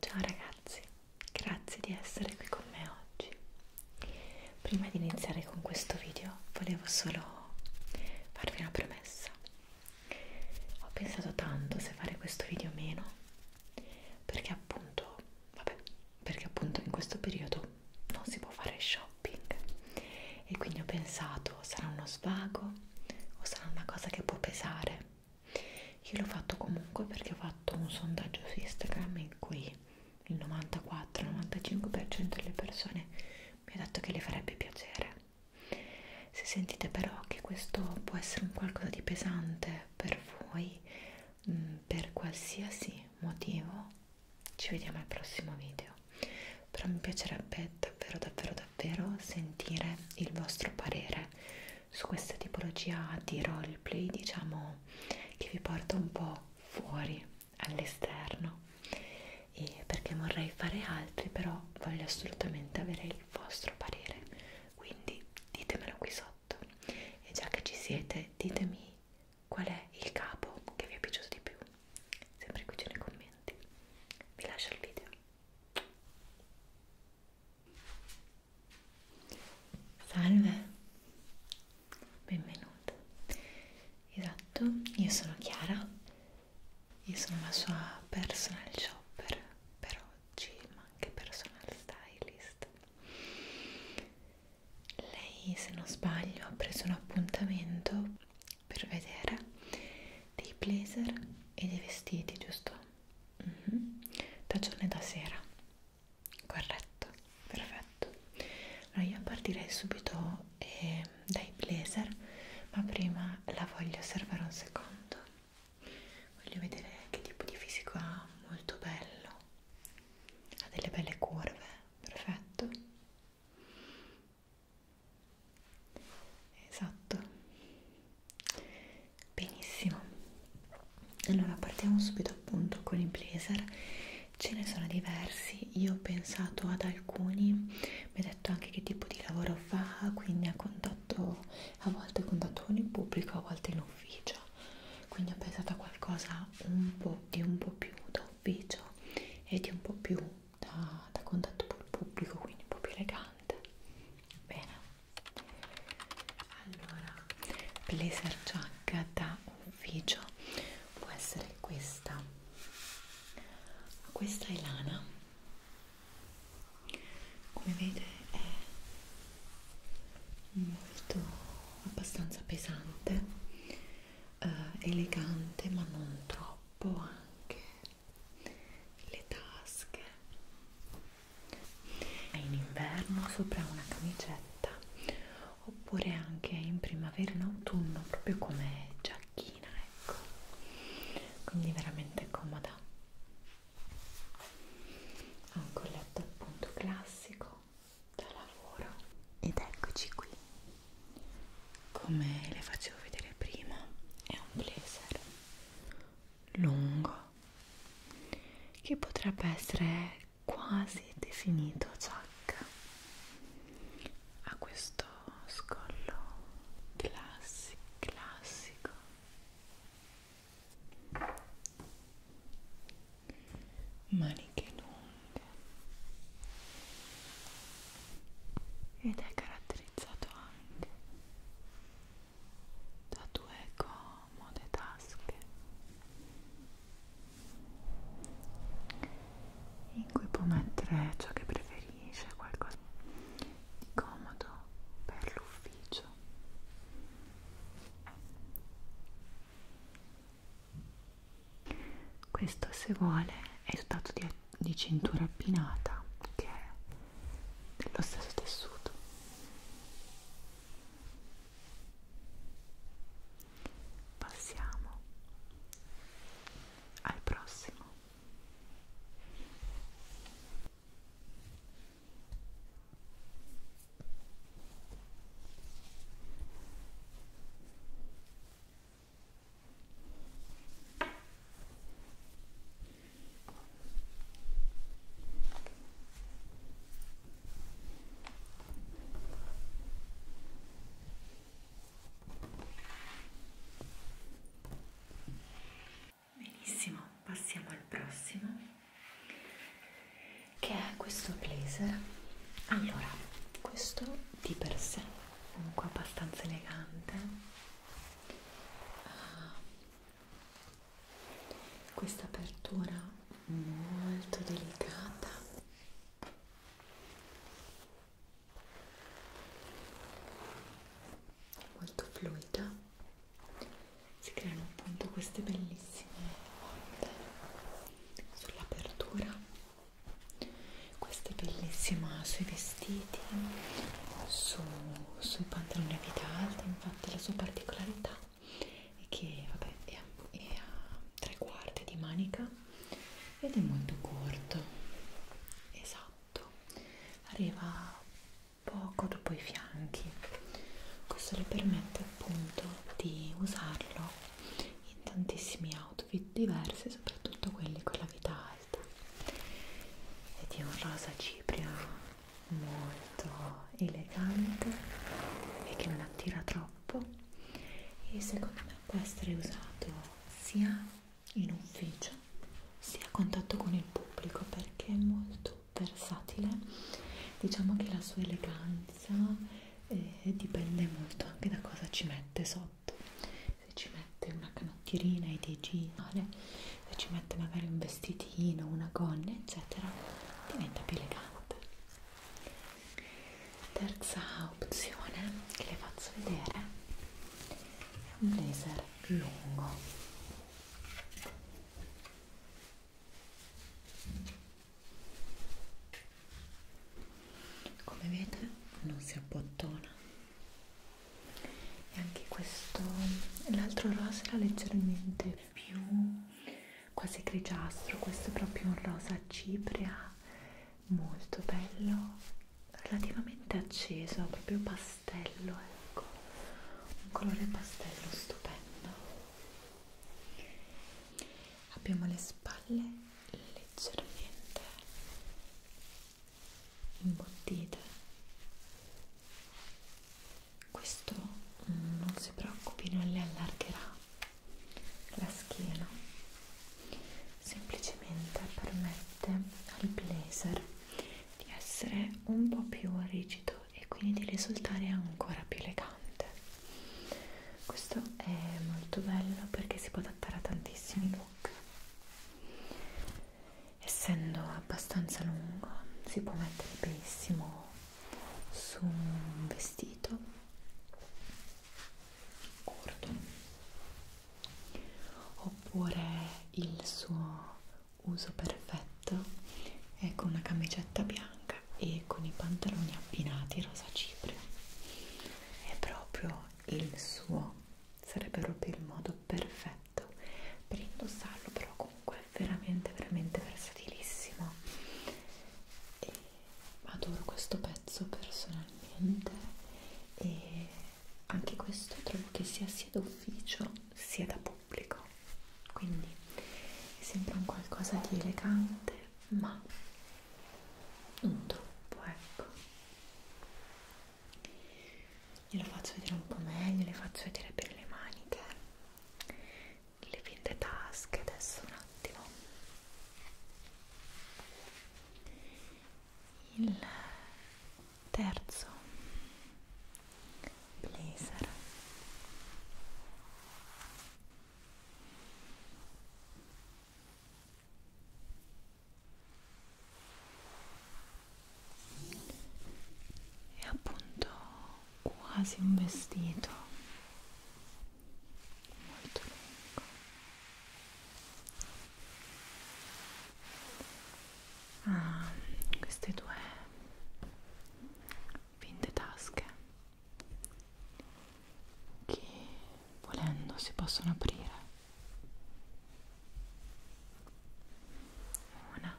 Ciao ragazzi, grazie di essere qui con me oggi. Prima di iniziare con questo video volevo solo farvi una promessa. Ho pensato tanto se fare questo video o meno, perché appunto, vabbè, perché appunto in questo periodo non si può fare shopping e quindi ho pensato sarà uno svago o sarà una cosa che può pesare io l'ho fatto comunque perché ho fatto un sondaggio su Instagram in cui il 94-95% delle persone mi ha detto che le farebbe piacere se sentite però che questo può essere un qualcosa di pesante per voi mh, mm, per qualsiasi motivo ci vediamo al prossimo video però mi piacerebbe davvero davvero davvero sentire il vostro parere su questa tipologia di roleplay diciamo che vi porta un po' fuori all'esterno e perché vorrei fare altri però voglio assolutamente avere il vostro parere quindi ditemelo qui sotto e già che ci siete ditemi qual è il capo che vi è piaciuto di più sempre qui nei commenti vi lascio il video salve benvenuto esatto io sono Chiara io sono la sua personal shopper per oggi ma anche personal stylist lei, se non sbaglio, ha preso un appuntamento per vedere dei blazer e dei vestiti, giusto? Mm -hmm. Da giorno e da sera. Corretto, perfetto. Allora io partirei subito eh, dai blazer, ma prima la voglio osservare un secondo. Voglio vedere che tipo di fisico ha, molto bello. Ha delle belle curve perfetto esatto benissimo allora partiamo subito appunto con i blazer ce ne sono diversi io ho pensato ad alcuni mi ha detto anche che tipo di lavoro fa quindi a contatto a volte contatto con il pubblico a volte in ufficio quindi ho pensato a qualcosa un po' di un po' più da ufficio e di un po' più da, da contatto col pubblico quindi un po' più elegante bene allora blazer giacca da ufficio può essere questa questa è lana come vede è molto abbastanza pesante eh, elegante ma non troppo anche le tasche in inverno sopra una camicetta oppure anche in primavera in autunno proprio come giacchina ecco quindi veramente comoda ha un colletto appunto classico da lavoro ed eccoci qui come le facevo vedere prima è un blazer lungo che potrebbe essere quasi definito giacca ha questo scollo classico classico maniche lunghe ed è caratterizzato anche da due comode tasche in cui può mettere ciò che preferisce, qualcosa di comodo per l'ufficio questo se vuole è dotato di, di cintura appinata che è dello stesso tessuto passiamo al prossimo Benissimo, passiamo al prossimo che è questo blazer allora questo di per sé comunque abbastanza elegante uh, questa apertura molto delicata molto fluida si creano appunto queste bellissime onde sull'apertura questa è bellissima sui vestiti su, sui pantaloni a vita alta infatti la sua particolarità è che vabbè, è, è a tre quarti di manica ed è molto corto esatto arriva poco dopo i fianchi questo le permette appunto di usarlo in tantissimi outfit diversi, soprattutto quelli con la vita alta e di un rosa cipria molto elegante e che non attira troppo e secondo me può essere usato sia in ufficio sia a contatto con il pubblico perché è molto versatile diciamo che la sua eleganza e dipende molto anche da cosa ci mette sotto se ci mette una canottierina e dei ginare se ci mette magari un vestitino una gonna eccetera diventa più elegante terza opzione che le faccio vedere è un blazer lungo come vedete non si abbottona e anche questo l'altro rosa era leggermente più quasi grigiastro questo è proprio un rosa cipria molto bello relativamente acceso proprio pastello ecco un colore pastello stupendo abbiamo le spalle leggermente imbottite questo non si preoccupi non le allargherà la schiena semplicemente permette al blazer di essere un po' più rigido e quindi di risultare ancora più elegante questo è molto bello perché si può adattare a tantissimi look essendo abbastanza lungo si può mettere benissimo su un vestito corto oppure il suo uso perfetto è con una camicetta bianca e con i pantaloni abbinati rosa cipria è proprio il suo sarebbe proprio il modo perfetto per indossarlo però comunque è veramente veramente versatilissimo e adoro questo pezzo personalmente e anche questo trovo che sia sia d'ufficio sia da pubblico quindi mi sembra un qualcosa di elegante ma non troppo ecco glielo faccio vedere un po' meglio le faccio vedere bene le maniche le finte tasche adesso un attimo il terzo blazer è appunto quasi un vestito molto lungo ha ah, queste due finte tasche che volendo si possono aprire una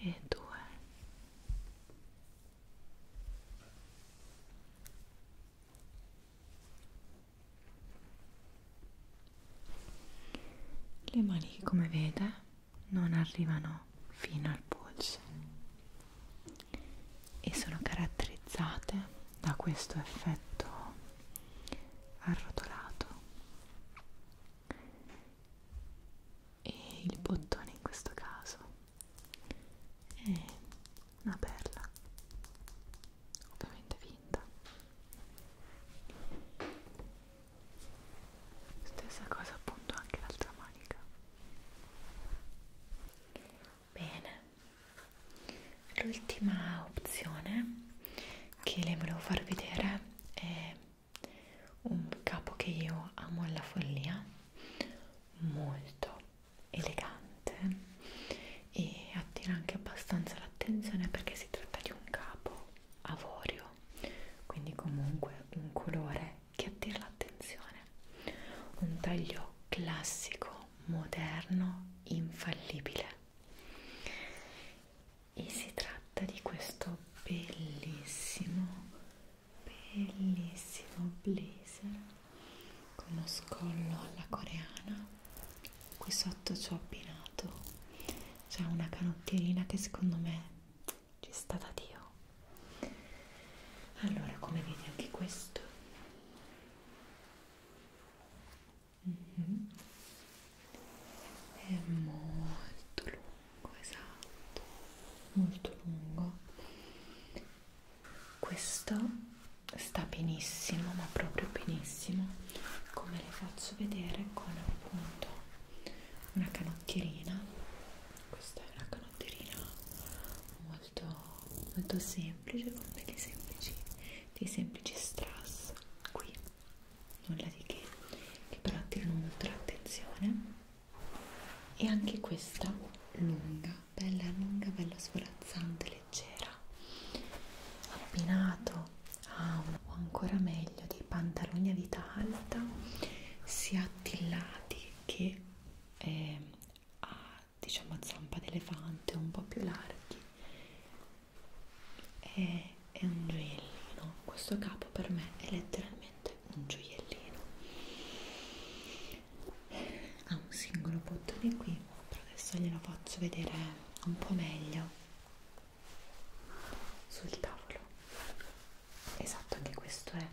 e due le mani come vede non arrivano fino al polso e sono caratterizzate da questo effetto arrotolato e il bottone in questo caso è una perla ovviamente finta stessa cosa appunto anche l'altra manica bene l'ultima opzione che le volevo far vedere è un capo che io amo alla follia molto elegante e attira anche abbastanza l'attenzione perché si tratta di un capo avorio quindi comunque un colore che attira l'attenzione un taglio classico moderno infallibile e si tratta di questo bellissimo bellissimo blazer con lo scollo alla coreana qui sotto ci ho abbinato c'è una canottierina che secondo me ci sta da Dio. Allora, come vedi anche questo? Mm -hmm. È molto lungo, esatto, molto lungo. Questo sta benissimo, ma proprio benissimo, come le faccio vedere con appunto una canottierina questa è una canotterina molto, molto semplice con dei semplici, dei semplici strass qui nulla di che che però attirano molto l'attenzione e anche questa lunga bella lunga bella svolazzante leggera abbinato a un o ancora meglio dei pantaloni a vita alta si ha attillati che eh, ha diciamo a zampa d'elefante un po' più larghi è, è un gioiellino questo capo per me è letteralmente un gioiellino ha un singolo bottone qui però adesso glielo faccio vedere un po' meglio sul tavolo esatto anche questo è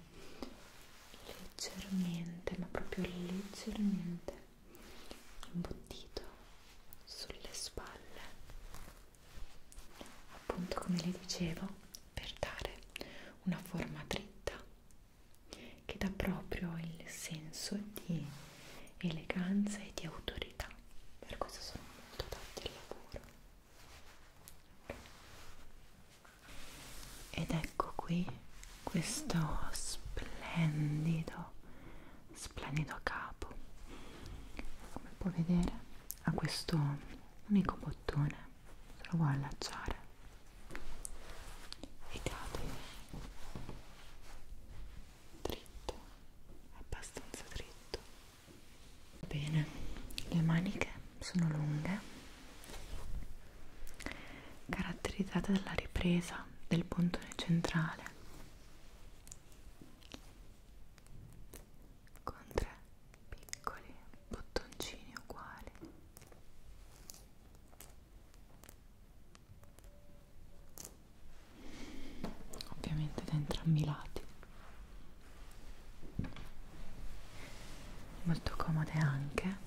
leggermente ma proprio leggermente imbottito sulle spalle appunto come le dicevo per dare una forma dritta che dà proprio il senso di eleganza e di autorità per questo sono molto adatti al lavoro ed ecco qui questo splendido, splendido capo. Come puoi vedere ha questo unico bottone, se lo vuoi allacciare e cade dritto, abbastanza dritto bene le maniche sono lunghe caratterizzate dalla ripresa del puntone centrale con tre piccoli bottoncini uguali ovviamente da entrambi i lati molto comode anche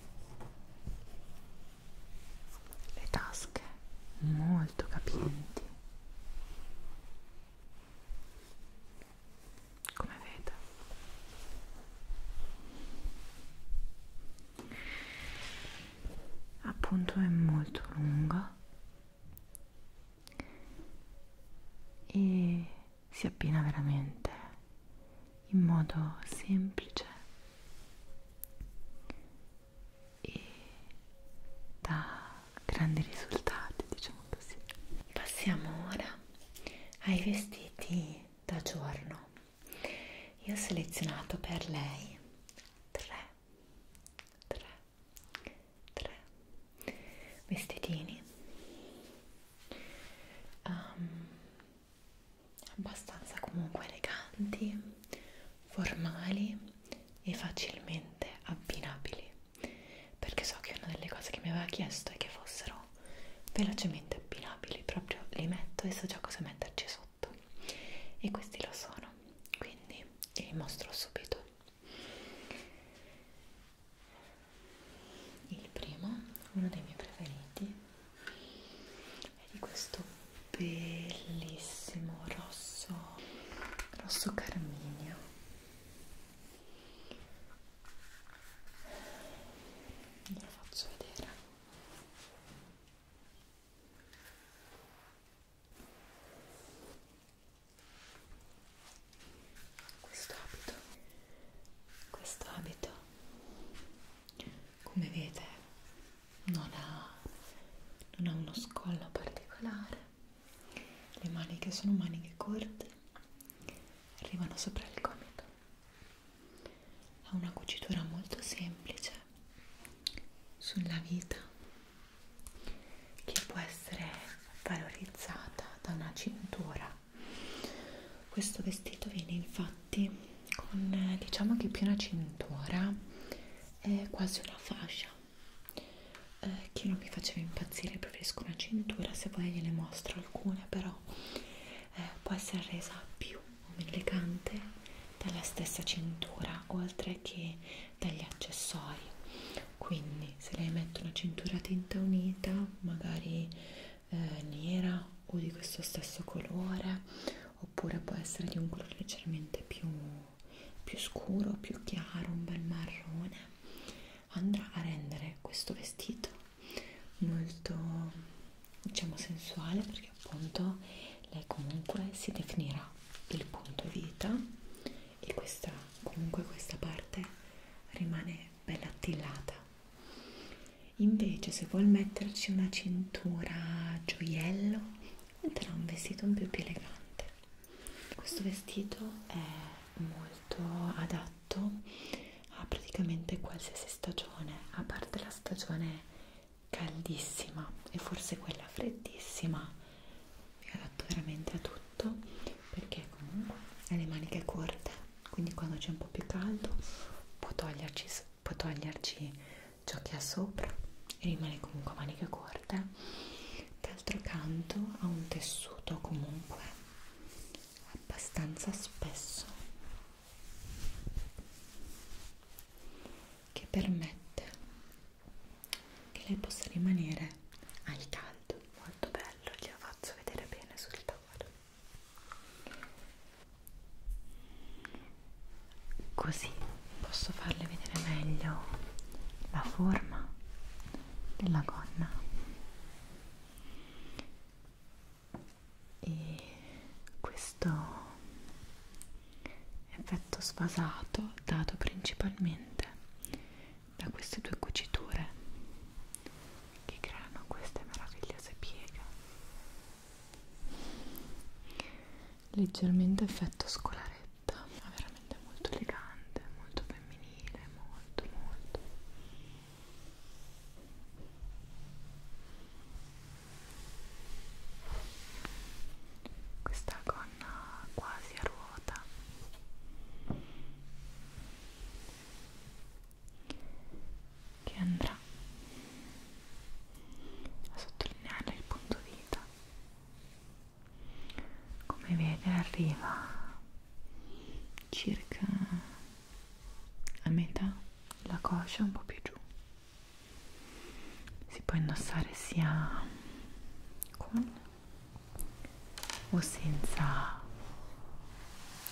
le tasche molto capienti come vedete appunto è molto lungo e si abbina veramente in modo semplice e dà grandi risultati diciamo così passiamo ora ai vestiti da giorno io ho selezionato per lei tre tre tre vestitini um, abbastanza comunque eleganti, formali e facilmente abbinabili perché so che una delle cose che mi aveva chiesto è che fossero velocemente abbinabili proprio li metto e so già cosa metterci sotto e questi lo sono quindi li mostro subito il primo, uno dei miei preferiti, è di questo bellissimo rosso, rosso carminio. Ve lo faccio vedere questo abito questo abito come vede non ha, non ha uno scollo particolare le maniche sono maniche corte arrivano sopra il gomito ha una cucitura molto semplice sulla vita che può essere valorizzata da una cintura. Questo vestito viene infatti con diciamo che più una cintura è quasi una fascia. Eh, che non mi faceva impazzire, preferisco una cintura, se poi gliene mostro alcune, però eh, può essere resa più elegante dalla stessa cintura, oltre che dagli accessori quindi se lei mette una cintura tinta unita magari eh, nera o di questo stesso colore oppure può essere di un colore leggermente più, più scuro più chiaro un bel marrone andrà a rendere questo vestito molto diciamo sensuale perché appunto lei comunque si definirà il punto vita e questa comunque questa parte rimane bella attillata invece se vuol metterci una cintura gioiello metterà un vestito un po' più elegante questo vestito è molto adatto a praticamente qualsiasi stagione a parte la stagione caldissima e forse quella freddissima mi adatto veramente a tutto perché comunque ha le maniche corte quindi quando c'è un po' più caldo può toglierci, può toglierci ciò che ha sopra e rimane comunque a maniche corte d'altro canto ha un tessuto comunque abbastanza spesso che permette che lei possa rimanere al caldo molto molto bello glielo faccio vedere bene sul tavolo così posso farle vedere meglio la forma della gonna e questo effetto sfasato dato principalmente da queste due cuciture che creano queste meravigliose pieghe leggermente effetto scolaretta ma veramente molto elegante molto femminile molto molto questa con canna quasi a ruota che andrà a sottolineare il punto vita come vede arriva circa a metà la coscia un po' più giù si può indossare sia con o senza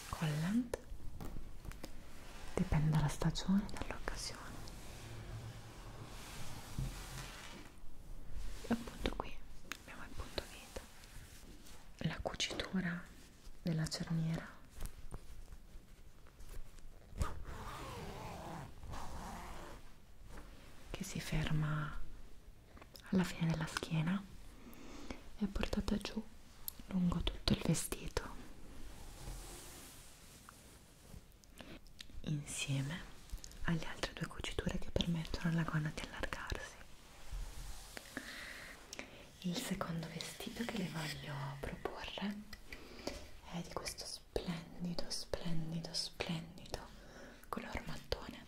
collant dipende dalla stagione e dall'occasione appunto qui abbiamo il punto vita la cucitura della cerniera che si ferma alla fine della schiena e portata giù lungo tutto il vestito insieme alle altre due cuciture che permettono alla gonna di allargarsi il secondo vestito che le voglio proporre è di questo splendido splendido splendido color mattone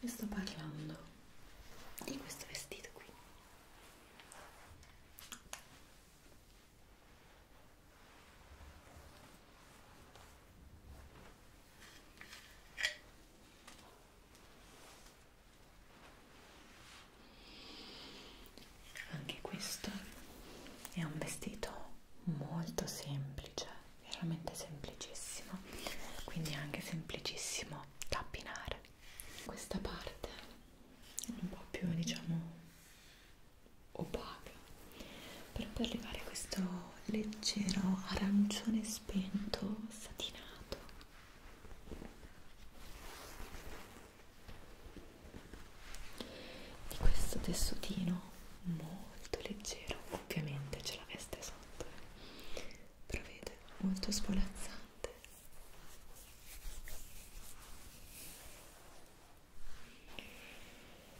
vi sto parlando di questo vestito qui anche questo è un vestito molto semplice veramente semplicissimo quindi anche semplicissimo da abbinare questa parte un po' più diciamo opaca per poi arrivare a questo leggero arancione spento satinato di questo tessutino molto leggero, ovviamente c'è la veste sotto, eh. però vede, molto svolazzante.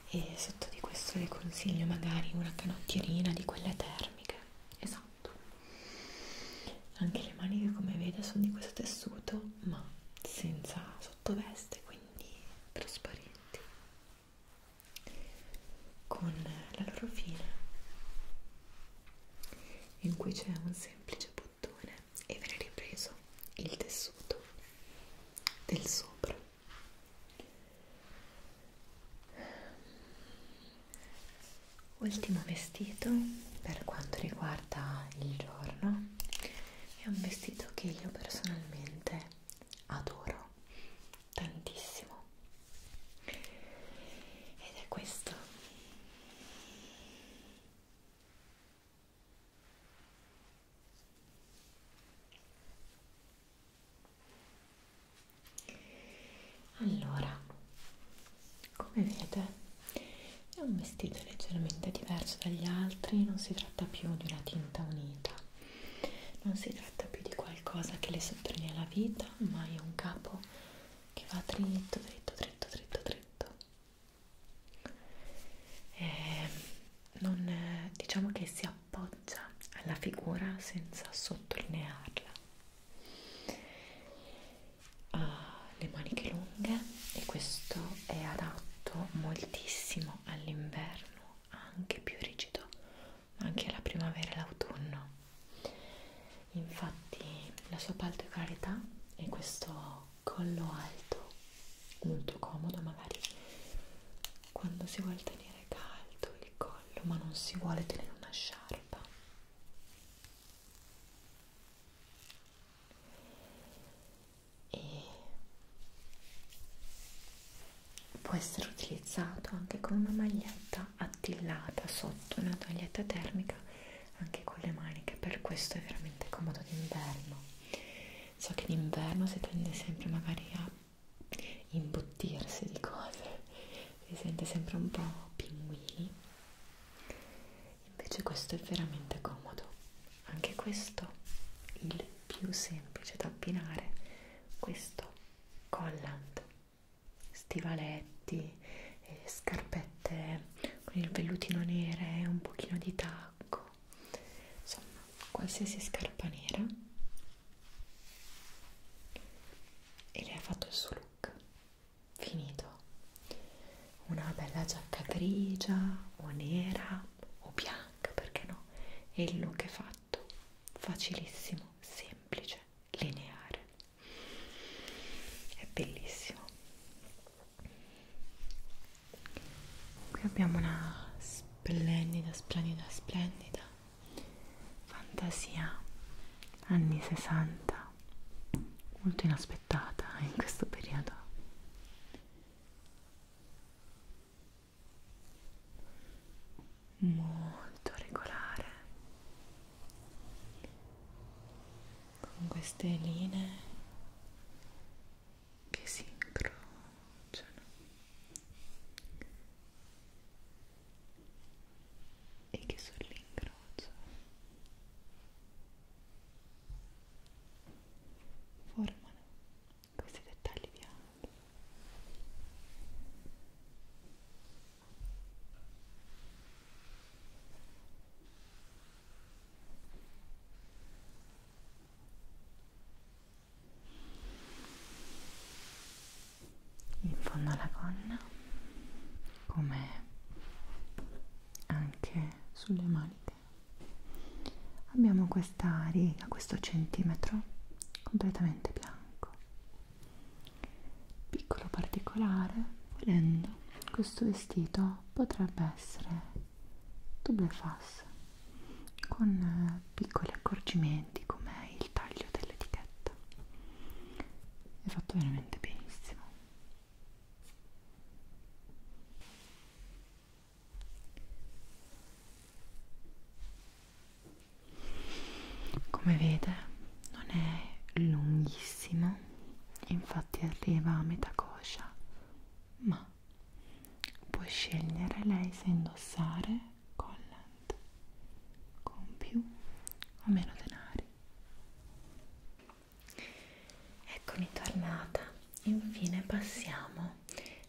E sotto di questo le consiglio magari una canottierina di quelle termiche, esatto. Anche le maniche come vede sono di questo tessuto, ma senza sottoveste, quindi trasparenti con la loro fine in cui c'è un semplice bottone e viene ripreso il tessuto del sopra ultimo vestito per quanto riguarda il giorno è un vestito che io personalmente adoro tantissimo ed è questo allora come vedete è un vestito leggermente diverso dagli altri non si tratta più di una tinta unita non si tratta più di qualcosa che le sottolinea la vita, ma è un capo che va dritto, dritto, dritto, dritto, dritto. E non, diciamo che si appoggia alla figura senza sottolinearla. Ha le maniche lunghe e questo è adatto moltissimo all'inverno anche più rigido anche la primavera e l'autunno infatti la sua particolarità è questo collo alto molto comodo magari quando si vuole tenere caldo il collo ma non si vuole tenere una sciarpa e può essere utilizzato anche con una maglietta attillata sotto una toglietta termica anche con le maniche per questo è veramente comodo d'inverno so che d'inverno si tende sempre magari a imbottirsi di cose si sente sempre un po' pinguini invece questo è veramente comodo anche questo il più semplice da abbinare questo collant stivaletti eh, scarpette con il vellutino nere un pochino di tacco insomma qualsiasi scarpa nera e lei ha fatto il suo look finito una bella giacca grigia o nera o bianca, perché no? E il look è fatto, facilissimo, semplice, lineare, è bellissimo. Qui abbiamo una splendida, splendida, splendida fantasia anni 60, molto inaspettata in questo periodo molto regolare con queste linee che si incrociano e che sull'incrocio formano questi dettagli bianchi in fondo alla gonna come anche sulle maniche abbiamo questa riga, questo centimetro completamente bianco piccolo particolare volendo questo vestito potrebbe essere double face con eh, piccoli accorgimenti come il taglio dell'etichetta è fatto veramente benissimo come vede non è lunghissimo, infatti arriva a metà coscia, ma può scegliere lei se indossare collant con più o meno denari. Eccomi tornata infine passiamo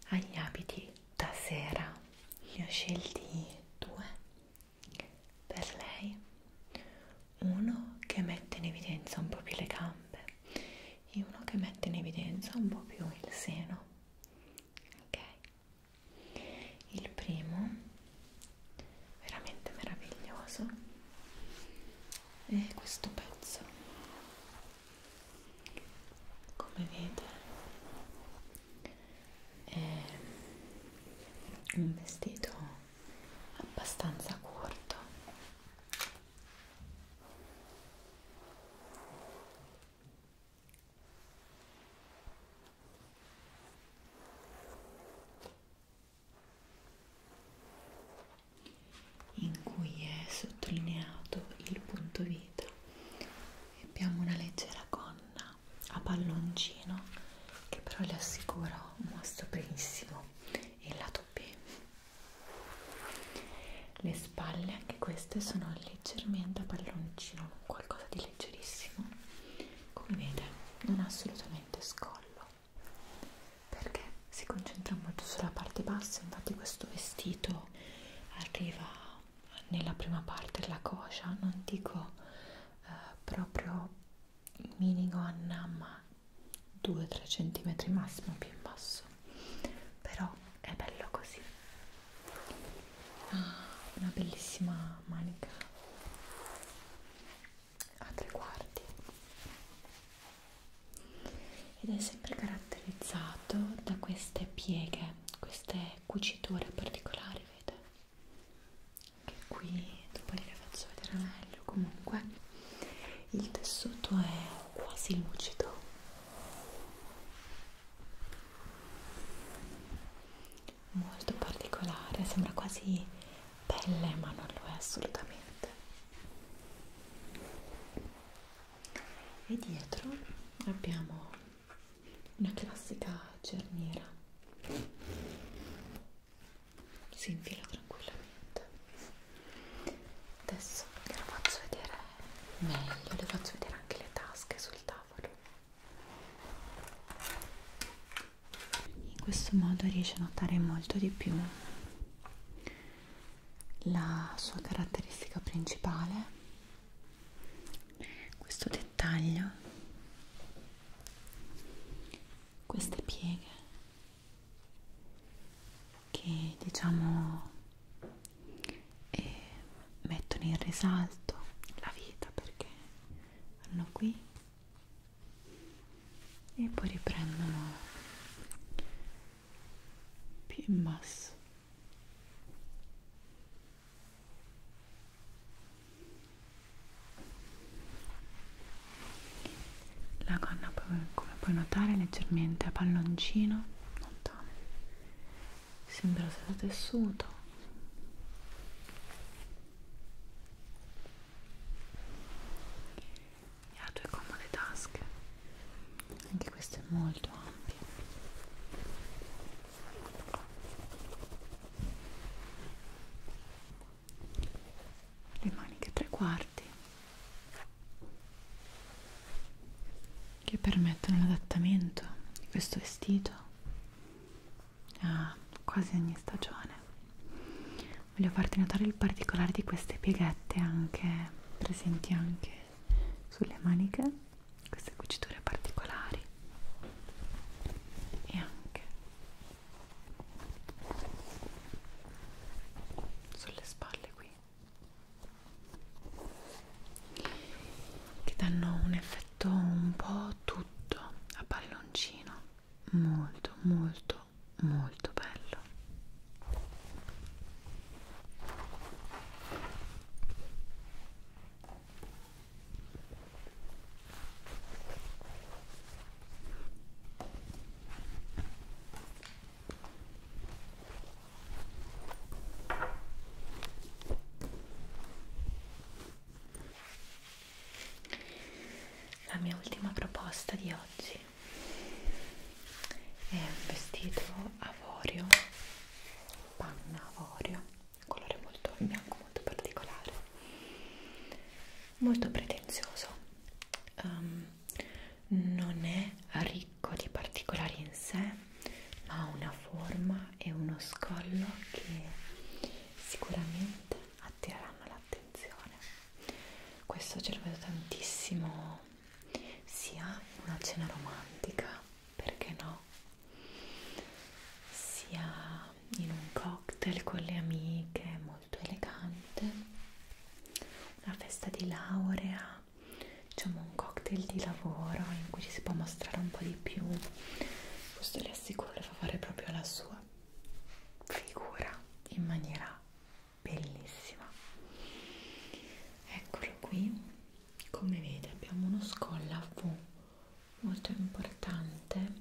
agli abiti da sera ne ho scelti due per lei uno che mette in evidenza un po' più le gambe e uno che mette in evidenza un po' più il seno ok il primo veramente meraviglioso è questo pezzo come vedete è un vestito abbastanza corto in cui è sottolineato il punto vita abbiamo una leggera gonna a palloncino che però le assicuro mostra benissimo il lato B le spalle anche queste sono leggermente a palloncino qualcosa di leggerissimo come vede non ha assolutamente scollo perché si concentra molto sulla parte bassa infatti questo vestito quando arriva nella prima parte della coscia, non dico eh, proprio minigonna, ma 2-3 cm massimo più in basso, però è bello così. Ah, una bellissima manica a tre quarti ed è sempre caratterizzato da queste pieghe, queste cuciture particolari, vedete? Che qui dopo le faccio vedere meglio. Comunque, il tessuto è quasi lucido. Molto particolare, sembra quasi pelle, ma non lo è assolutamente e dietro abbiamo una classica cerniera si infila tranquillamente adesso ve la faccio vedere meglio le faccio vedere anche le tasche sul tavolo in questo modo riesce a notare molto di più la sua caratteristica principale questo dettaglio queste pieghe che diciamo eh, mettono in risalto la vita perché vanno qui e poi riprendono più in basso la gonna come puoi notare leggermente a palloncino lontano sembra sia tessuto e ha due comode tasche anche questo è molto ampio le maniche tre quarti che permettono l'adattamento di questo vestito a quasi ogni stagione voglio farti notare il particolare di queste pieghette anche presenti anche sulle maniche queste cuciture particolari e anche sulle spalle qui che danno un effetto un po' tutto a palloncino molto molto molto bello la mia ultima proposta di oggi è un vestito avorio panna avorio un colore molto bianco molto particolare molto pretenzioso um, non è ricco di particolari in sé ma ha una forma e uno scollo che sicuramente attireranno l'attenzione questo ce lo vedo tantissimo sia una cena romantica, perché no? Sia in un cocktail con le amiche, molto elegante, una festa di laurea, diciamo un cocktail di lavoro in cui ci si può mostrare un po' di più. Questo le assicuro fa fare proprio la sua figura in maniera bellissima eccolo qui come vede abbiamo uno scolla a V molto importante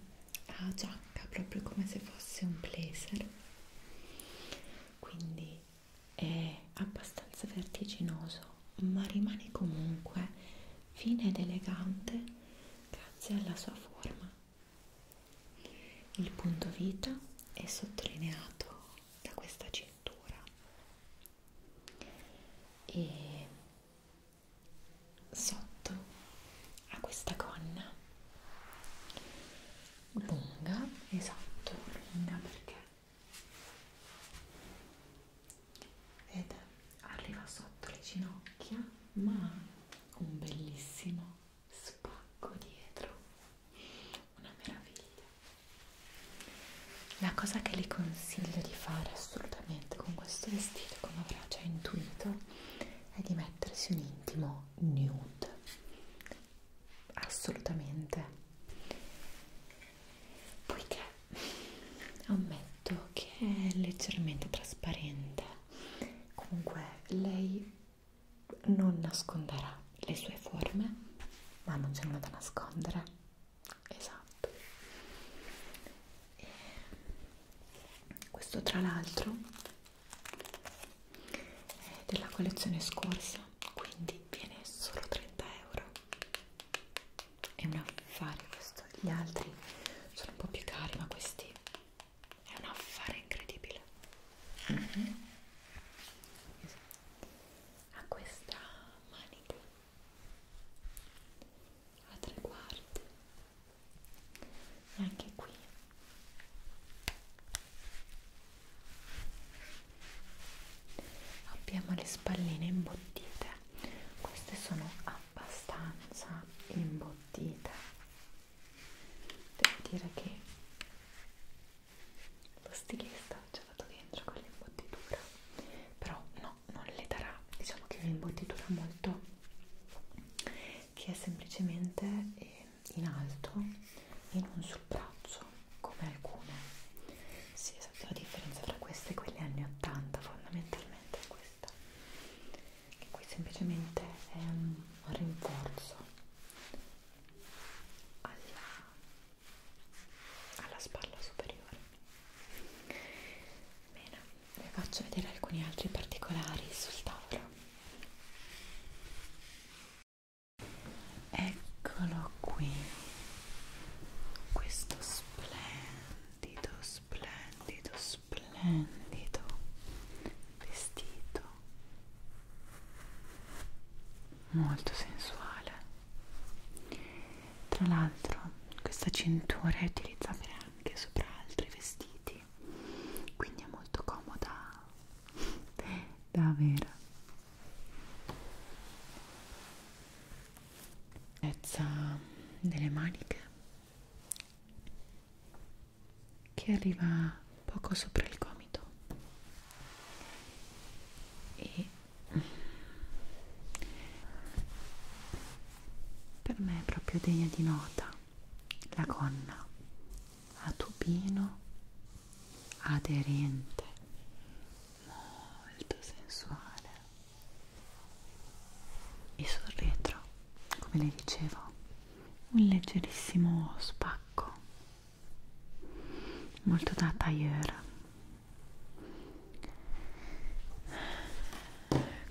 a giacca proprio come se fosse un blazer quindi è abbastanza vertiginoso ma rimane comunque fine ed elegante grazie alla sua forma il punto vita è sottolineato da questa cintura e sotto a questa gonna lunga, esatto, lunga perché vede, arriva sotto le ginocchia ma ha un bellissimo spacco dietro una meraviglia la cosa che le consiglio di fare assolutamente con questo vestito come avrà già intuito è di mettersi un intimo nude assolutamente poiché ammetto che è leggermente trasparente comunque lei non nasconderà le sue forme, ma non c'è nulla da nascondere. Esatto. E questo tra l'altro è della collezione scorsa, quindi viene solo 30 euro. È un affare questo, gli altri sono un po' più cari, ma questi è un affare incredibile. Mm -hmm. esatto a questa manica a tre quarti e anche qui abbiamo le spalline imbottite queste sono abbastanza imbottite devo dire che lo stilista ci ha fatto dentro con l'imbottitura però no, non le darà diciamo che è un'imbottitura molto che è semplicemente eh, in alto e non sul braccio come alcune sì esatto, la differenza tra queste e quelle anni 80 fondamentalmente è questa che qui semplicemente è un rinforzo alla, alla spalla superiore bene, vi faccio vedere alcuni altri particolari sul tavolo eccolo qui questo splendido splendido splendido vestito molto sensuale tra l'altro questa cintura è utilizzabile anche sopra altri vestiti quindi è molto comoda da avere delle maniche che arriva poco sopra il gomito e per me è proprio degna di nota la gonna a tubino aderente molto sensuale e sul retro come le dicevo un leggerissimo spacco molto da tailleur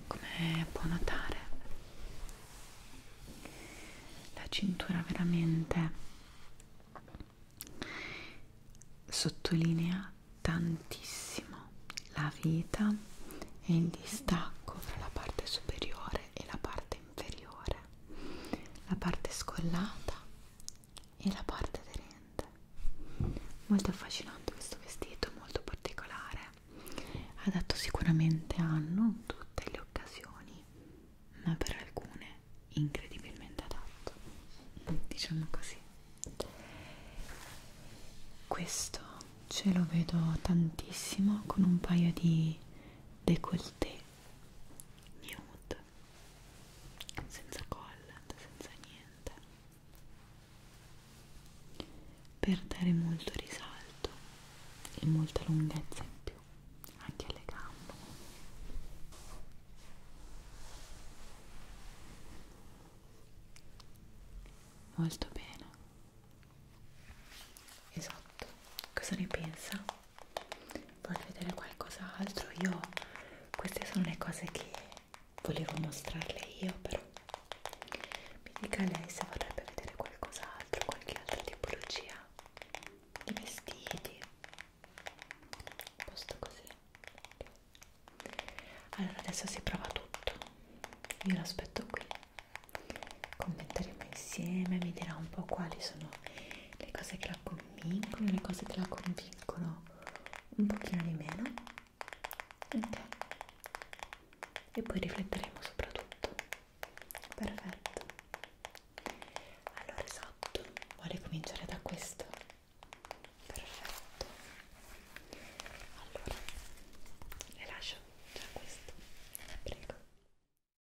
come può notare la cintura veramente sottolinea tantissimo la vita e il distacco fra la parte superiore e la parte inferiore, la parte scollata e la parte aderente. Molto affascinante questo vestito, molto particolare, adatto sicuramente a non tutte le occasioni, ma per alcune incredibilmente adatto, diciamo così. Questo ce lo vedo tantissimo con un paio di décolleté nude senza collant, senza niente per dare molto risalto e molta lunghezza in più anche alle gambe molto bene esatto cosa ne pensa? vuoi vedere qualcos'altro? Io queste sono le cose che volevo mostrarle io, però mi dica lei se vorrebbe vedere qualcos'altro, qualche altra tipologia di vestiti. Posto così. Allora adesso si prova tutto. Io lo aspetto qui. Commenteremo insieme, mi dirà un po' quali sono le cose che la convincono, le cose che la convincono un pochino di meno ok e poi rifletteremo soprattutto perfetto allora esatto vuole cominciare da questo perfetto allora le lascio già questo prego